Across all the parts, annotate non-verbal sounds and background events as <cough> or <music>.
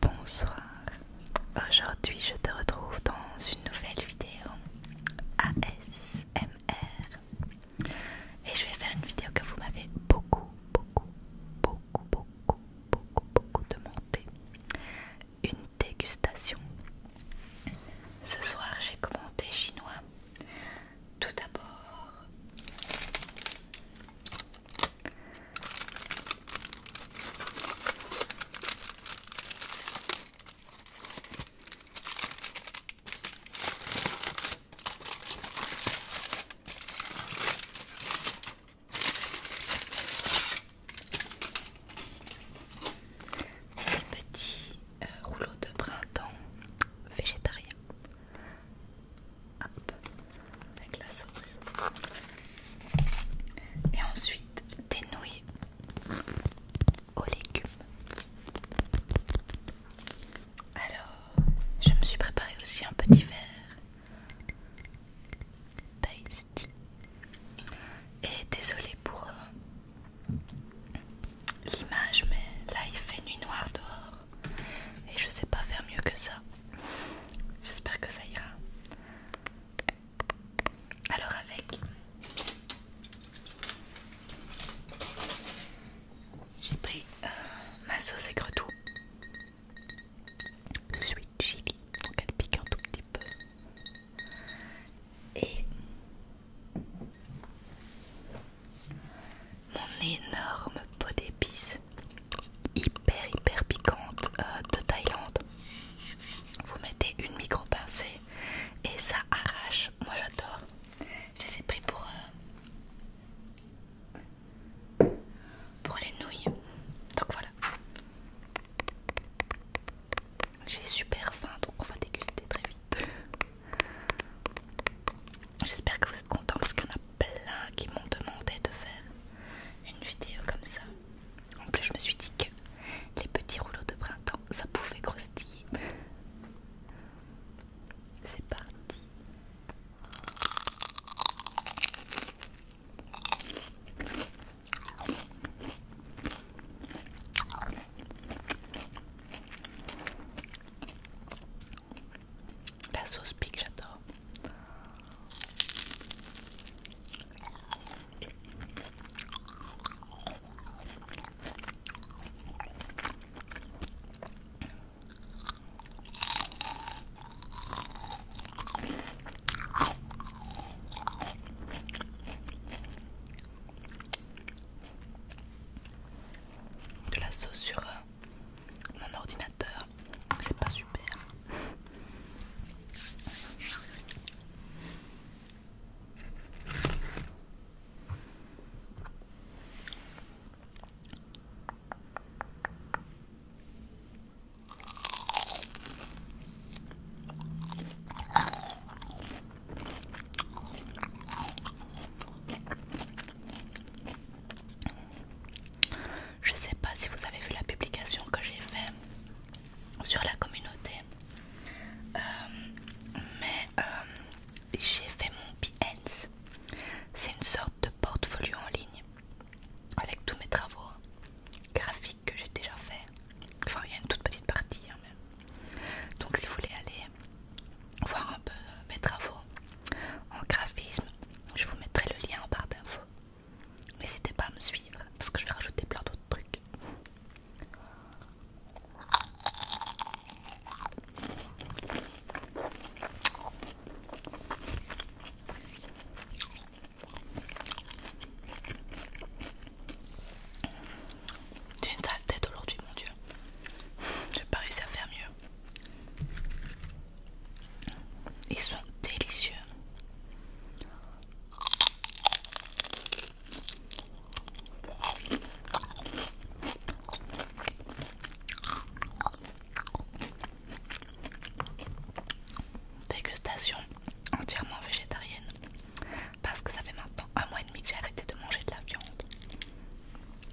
Bonsoir, aujourd'hui je te retrouve dans une nouvelle vidéo ASMR et je vais faire une vidéo que vous m'avez beaucoup, beaucoup, beaucoup, beaucoup, beaucoup, beaucoup demandé une dégustation. Ce soir j'ai commenté chinois tout d'abord, petit rouleau euh, rouleau de printemps végétarien avec la sauce. Et ensuite des nouilles aux légumes. Alors, je me suis préparé aussi un petit verre Et désolée pour euh, l'image, mais là il fait nuit noire dehors et je sais pas faire mieux que ça. J'espère que ça ira. Alors avec j'ai pris euh, ma sauce aigre sweet chili, donc elle pique un tout petit peu et mon énorme pot d'épices hyper hyper piquante euh, de Thaïlande. Vous mettez une micro pincée et ça arrache. Moi j'adore. Je les ai pris pour euh, pour les nouilles. Donc voilà. J'ai super faim donc on va déguster très vite. J'espère que vous êtes contents parce qu'il y en a plein qui m'ont demandé de faire une vidéo comme ça. En plus, je me suis dit que les petits rouleaux de printemps, ça pouvait croustiller. C'est parti. La sauce pique, j'adore. De la sauce sur euh, mon ordinateur, c'est pas super. Je sais pas si vous avez vu la publication que j'ai faite sur la communauté, euh, mais euh, j'ai fait mon Behance. C'est une sorte de portfolio en ligne avec tous mes travaux graphiques que j'ai déjà fait. Enfin, il y a une toute petite partie, hein, Donc, si vous voulez aller voir un peu euh, mes travaux en graphisme. Je vous mettrai le lien en barre d'infos. N'hésitez pas à me suivre parce que je vais rajouter plein d'autres trucs. J'ai une sale tête aujourd'hui, mon dieu. J'ai pas réussi à faire mieux. Ils sont délicieux. Dégustation entièrement végétarienne parce que ça fait maintenant un mois et demi que j'ai arrêté de manger de la viande.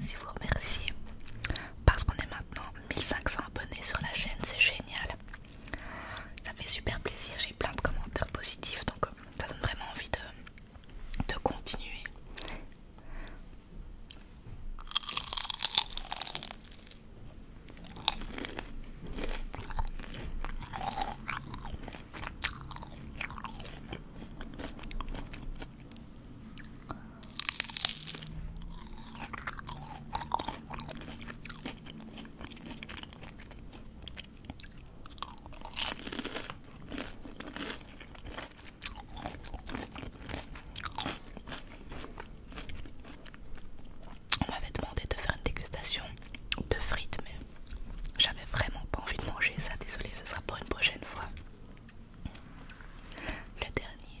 Je voulais aussi vous remercier parce qu'on est maintenant 1500 abonnés sur la chaîne, c'est génial. Ça fait super plaisir, j'ai plein de commentaires positifs donc euh, ça donne vraiment envie de, de continuer. On m'avait demandé de faire une dégustation de frites, mais j'avais vraiment pas envie de manger ça. désolé ce sera pour une prochaine fois. Le dernier.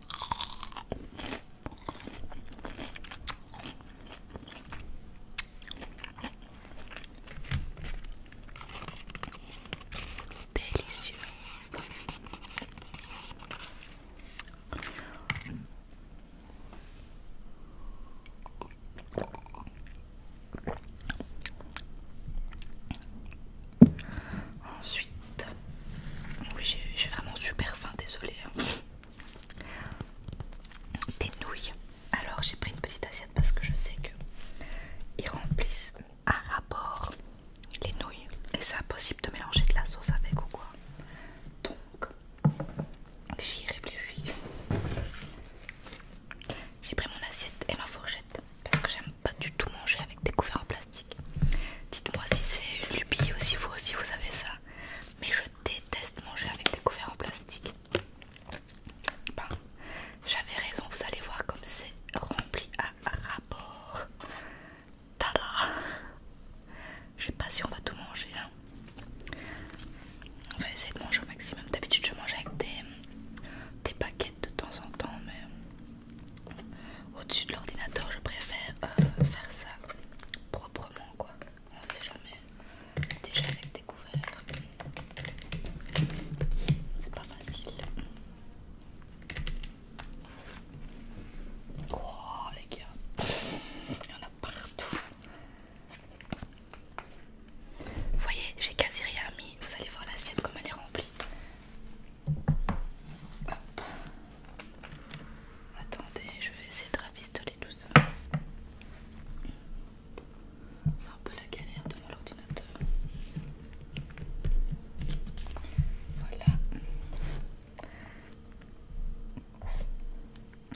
Délicieux. Ensuite, oui, j'ai vraiment super faim, désolé. Hein des nouilles. Alors j'ai pris une petite assiette parce que je sais que ils remplissent à rapport les nouilles et c'est impossible de mélanger de la sauce avec ou quoi. Donc j'y réfléchis. J'ai pris mon assiette et ma fourchette parce que j'aime pas du tout manger avec des couverts en plastique. Dites-moi si c'est une lubie ou vous aussi vous avez ça mais je déteste manger avec des couverts en plastique. Bah, j'avais raison, vous allez voir comme c'est rempli à rapport. Tada! Je sais pas si on va tout manger. Hein. On va essayer de manger au maximum. D'habitude, je mange avec des, des paquettes de temps en temps, mais au-dessus de l'ordinateur, je préfère euh, faire ça proprement quoi. On sait jamais. Déjà avec des couverts. C'est pas facile. les gars. Il y en a partout. Vous voyez, j'ai quasi rien mis. Vous allez voir l'assiette comme elle est remplie. Attendez, je vais essayer de rafistoler tout ça. C'est un peu la galère devant l'ordinateur. Voilà.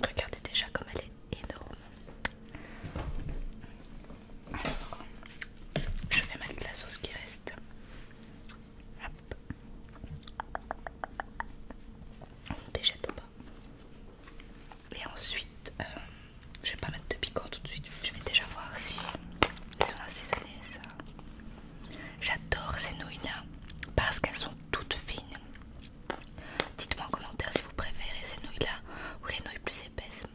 Regardez déjà comme elle est énorme. Alors, je vais mettre la sauce qui reste. Hop. On déjette pas. Et ensuite, euh, je vais pas mettre de piquant tout de suite. Je vais déjà voir si, ils sont assaisonnés. ça. J'adore ces nouilles-là parce qu'elles sont toutes fines. Dites-moi en commentaire si vous préférez ces nouilles-là ou les nouilles plus épaisses.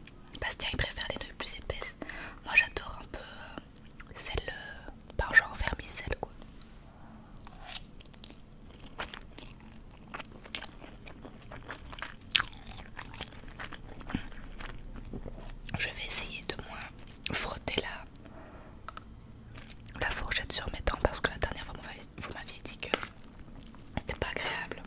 Bastien il préfère les nouilles plus épaisses. Moi j'adore un peu euh, celle euh, par genre vermicelle quoi. Je vais essayer de moins frotter la, la fourchette sur mes dents parce que la dernière fois vous m'aviez dit que c'était pas agréable.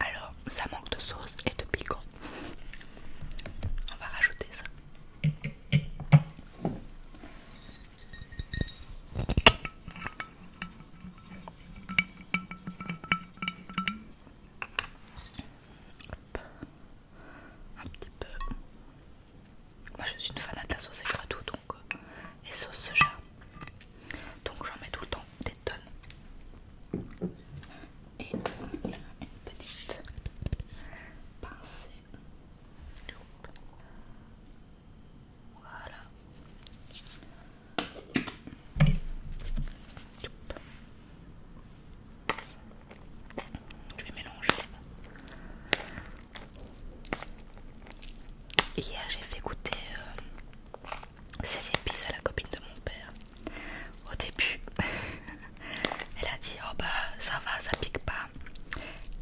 Alors, ça manque de sauce et de piquant. On va rajouter ça. Un petit peu. Moi je suis une fanate de sauce sauce tout, donc euh, et sauce soja. Donc j'en mets tout le temps des tonnes. Et une petite pincée. Voilà. Je vais mélanger. Hier, j'ai fait goûter ces euh, épices à la copine de mon père. Au début, <laughs> elle a dit Oh bah ça va, ça pique pas.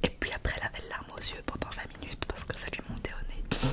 Et puis après, elle avait larmes aux yeux pendant 20 minutes parce que ça lui montait au nez.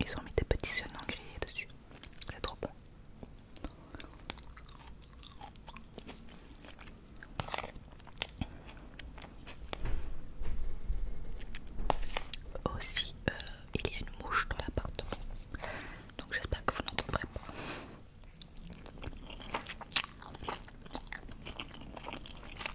Ils ont mis des petits sonnants grillés dessus. C'est trop bon. Aussi, euh, il y a une mouche dans l'appartement. Donc j'espère que vous l'entendrez pas.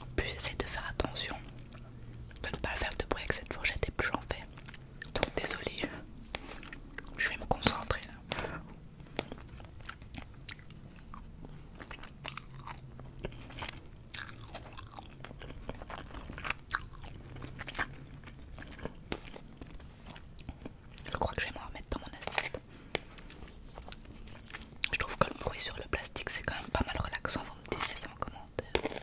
En plus, j'essaie de faire attention de ne pas faire de bruit avec cette fourchette et plus j'en fais. Donc, désolée, je vais me concentrer. Je crois que je vais me remettre dans mon assiette. Je trouve que le bruit sur le plastique c'est quand même pas mal relaxant. Vous me dites ça en commentaire.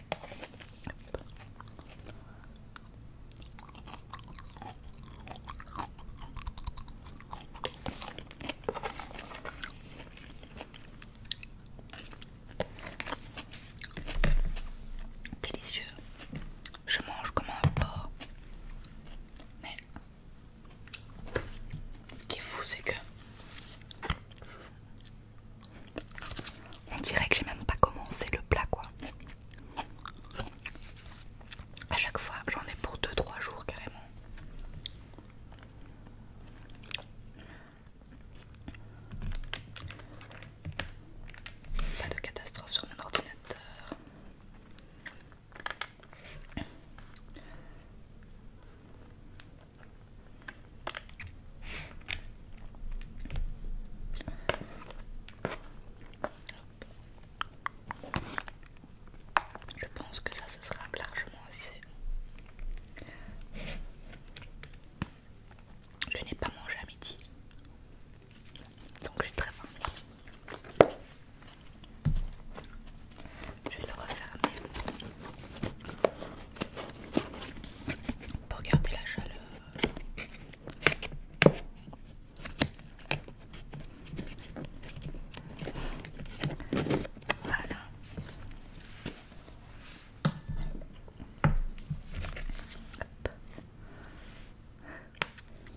Délicieux. Je mange comme un porc. Mais ce qui est fou, c'est que on dirait que j'ai même pas commencé le plat quoi. À chaque fois, j'en ai pour 2-3 jours carrément. Pas de catastrophe sur mon ordinateur. Je pense que ça se sera largement assez. Je n'ai pas mangé à midi, donc j'ai très faim. Je vais le refermer pour garder la chaleur. Voilà.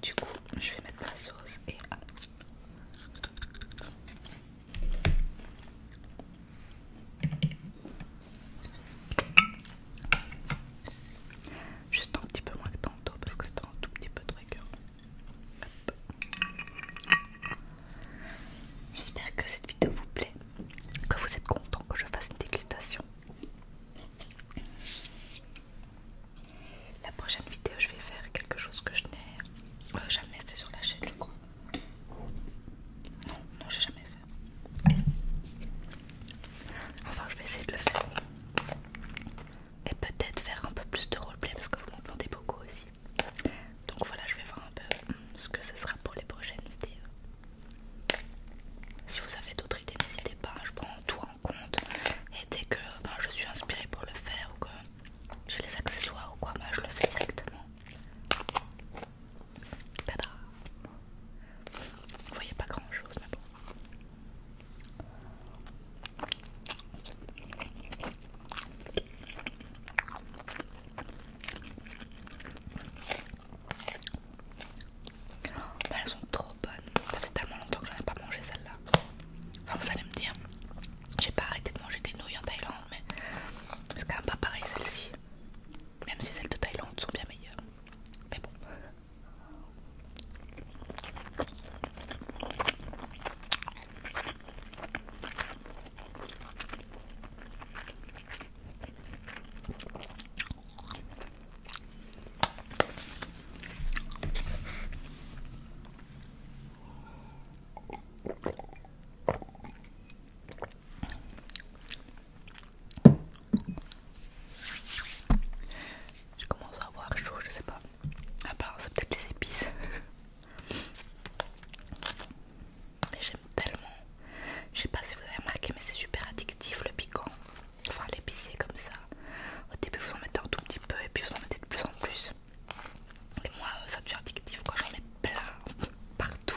Du coup, je vais mettre ma sauce et... Juste un petit peu moins que tantôt parce que c'était un tout petit peu rigueur J'espère que cette vidéo vous plaît, que vous êtes content que je fasse une dégustation. La prochaine vidéo, je vais faire quelque chose que je n'ai euh, jamais fait sur la chaîne, non, non, j'ai jamais fait. Enfin, je vais essayer de le faire. Et peut-être faire un peu plus de roleplay parce que vous me demandez beaucoup aussi. Donc voilà, je vais voir un peu hmm, ce que ce sera pour les prochaines vidéos. Si vous avez d'autres idées, n'hésitez pas, hein. je prends tout en compte. Et dès que ben, je suis inspirée pour le faire ou que j'ai les accessoires ou quoi, moi bah, je le fais directement. Tada Vous voyez pas grand chose, mais bah, elles sont trop bonnes. Ça fait tellement longtemps que j'en ai pas mangé celle-là. Enfin, vous allez me dire, j'ai pas arrêté de manger des nouilles en Thaïlande mais c'est quand même pas pareil celle-ci. Même si celles de Thaïlande sont bien meilleures. Mais bon. Je commence à avoir chaud, je sais pas. À part, c'est peut-être les épices. Mais j'aime tellement. Je sais pas si vous avez remarqué, mais c'est super addictif le piquant. Enfin, l'épicier comme ça. Au début, vous en mettez un tout petit peu et puis vous en mettez de plus en plus. Et moi, euh, ça devient addictif quand j'en mets plein partout.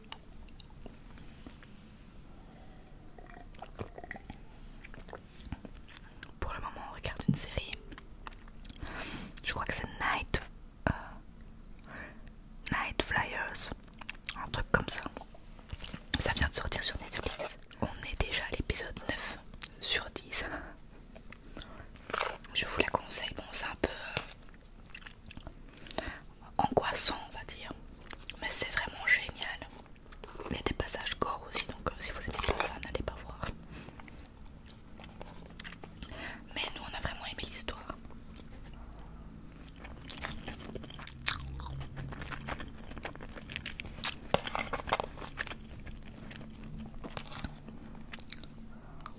Pour le moment, on regarde une série. Je crois que c'est Night, euh, Night Flyers, un truc comme ça. Ça vient de sortir sur Netflix. On est déjà à l'épisode 9 sur 10. Je vous la conseille. Bon, c'est un peu euh, en angoissant on va dire mais c'est vraiment génial il y a des passages gore aussi donc euh, si vous aimez ça n'allez pas voir mais nous on a vraiment aimé l'histoire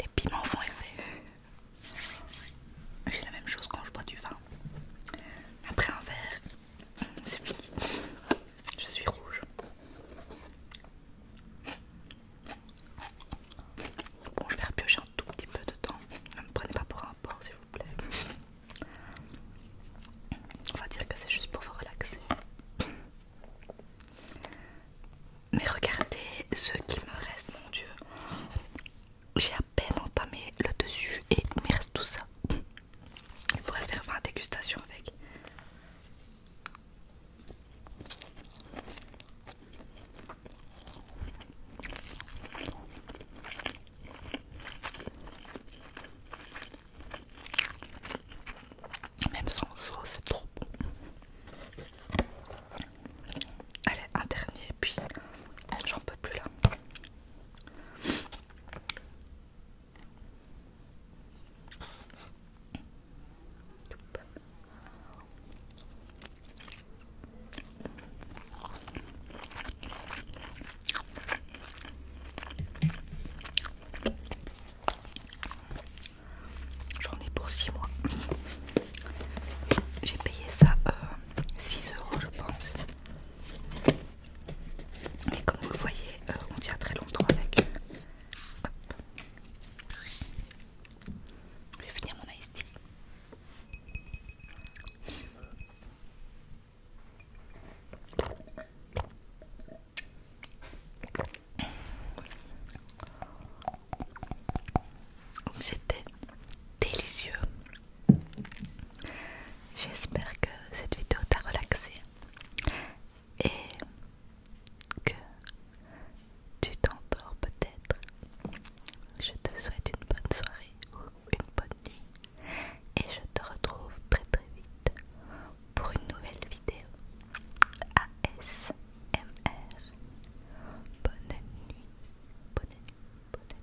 Les piments font effet. J'ai la même chose quand je bois du vin. Après un verre, c'est fini. Je suis rouge. Bon, je vais repiocher un tout petit peu de temps. Ne me prenez pas pour un Bon, s'il vous plaît. On va dire que c'est juste pour vous relaxer. Mais regardez ce qui me reste, mon dieu. J'ai à peine entamé le dessus et il me reste tout ça. Je pourrais faire 20 dégustations avec. Même sans sauce, c'est trop bon. Allez, un dernier, et puis j'en peux plus là. J'en ai pour 6 mois. J'ai payé ça euh, six 6 euros, je pense. Et comme vous le voyez, euh, on tient très longtemps avec. Hop. Je vais finir mon ice c'était délicieux. J'espère que cette vidéo t'a relaxé et que tu t'endors peut-être. Je te souhaite une bonne soirée ou une bonne et je te retrouve très très vite pour une nouvelle vidéo ASMR. Bonne nuit, bonne nuit, bonne nuit.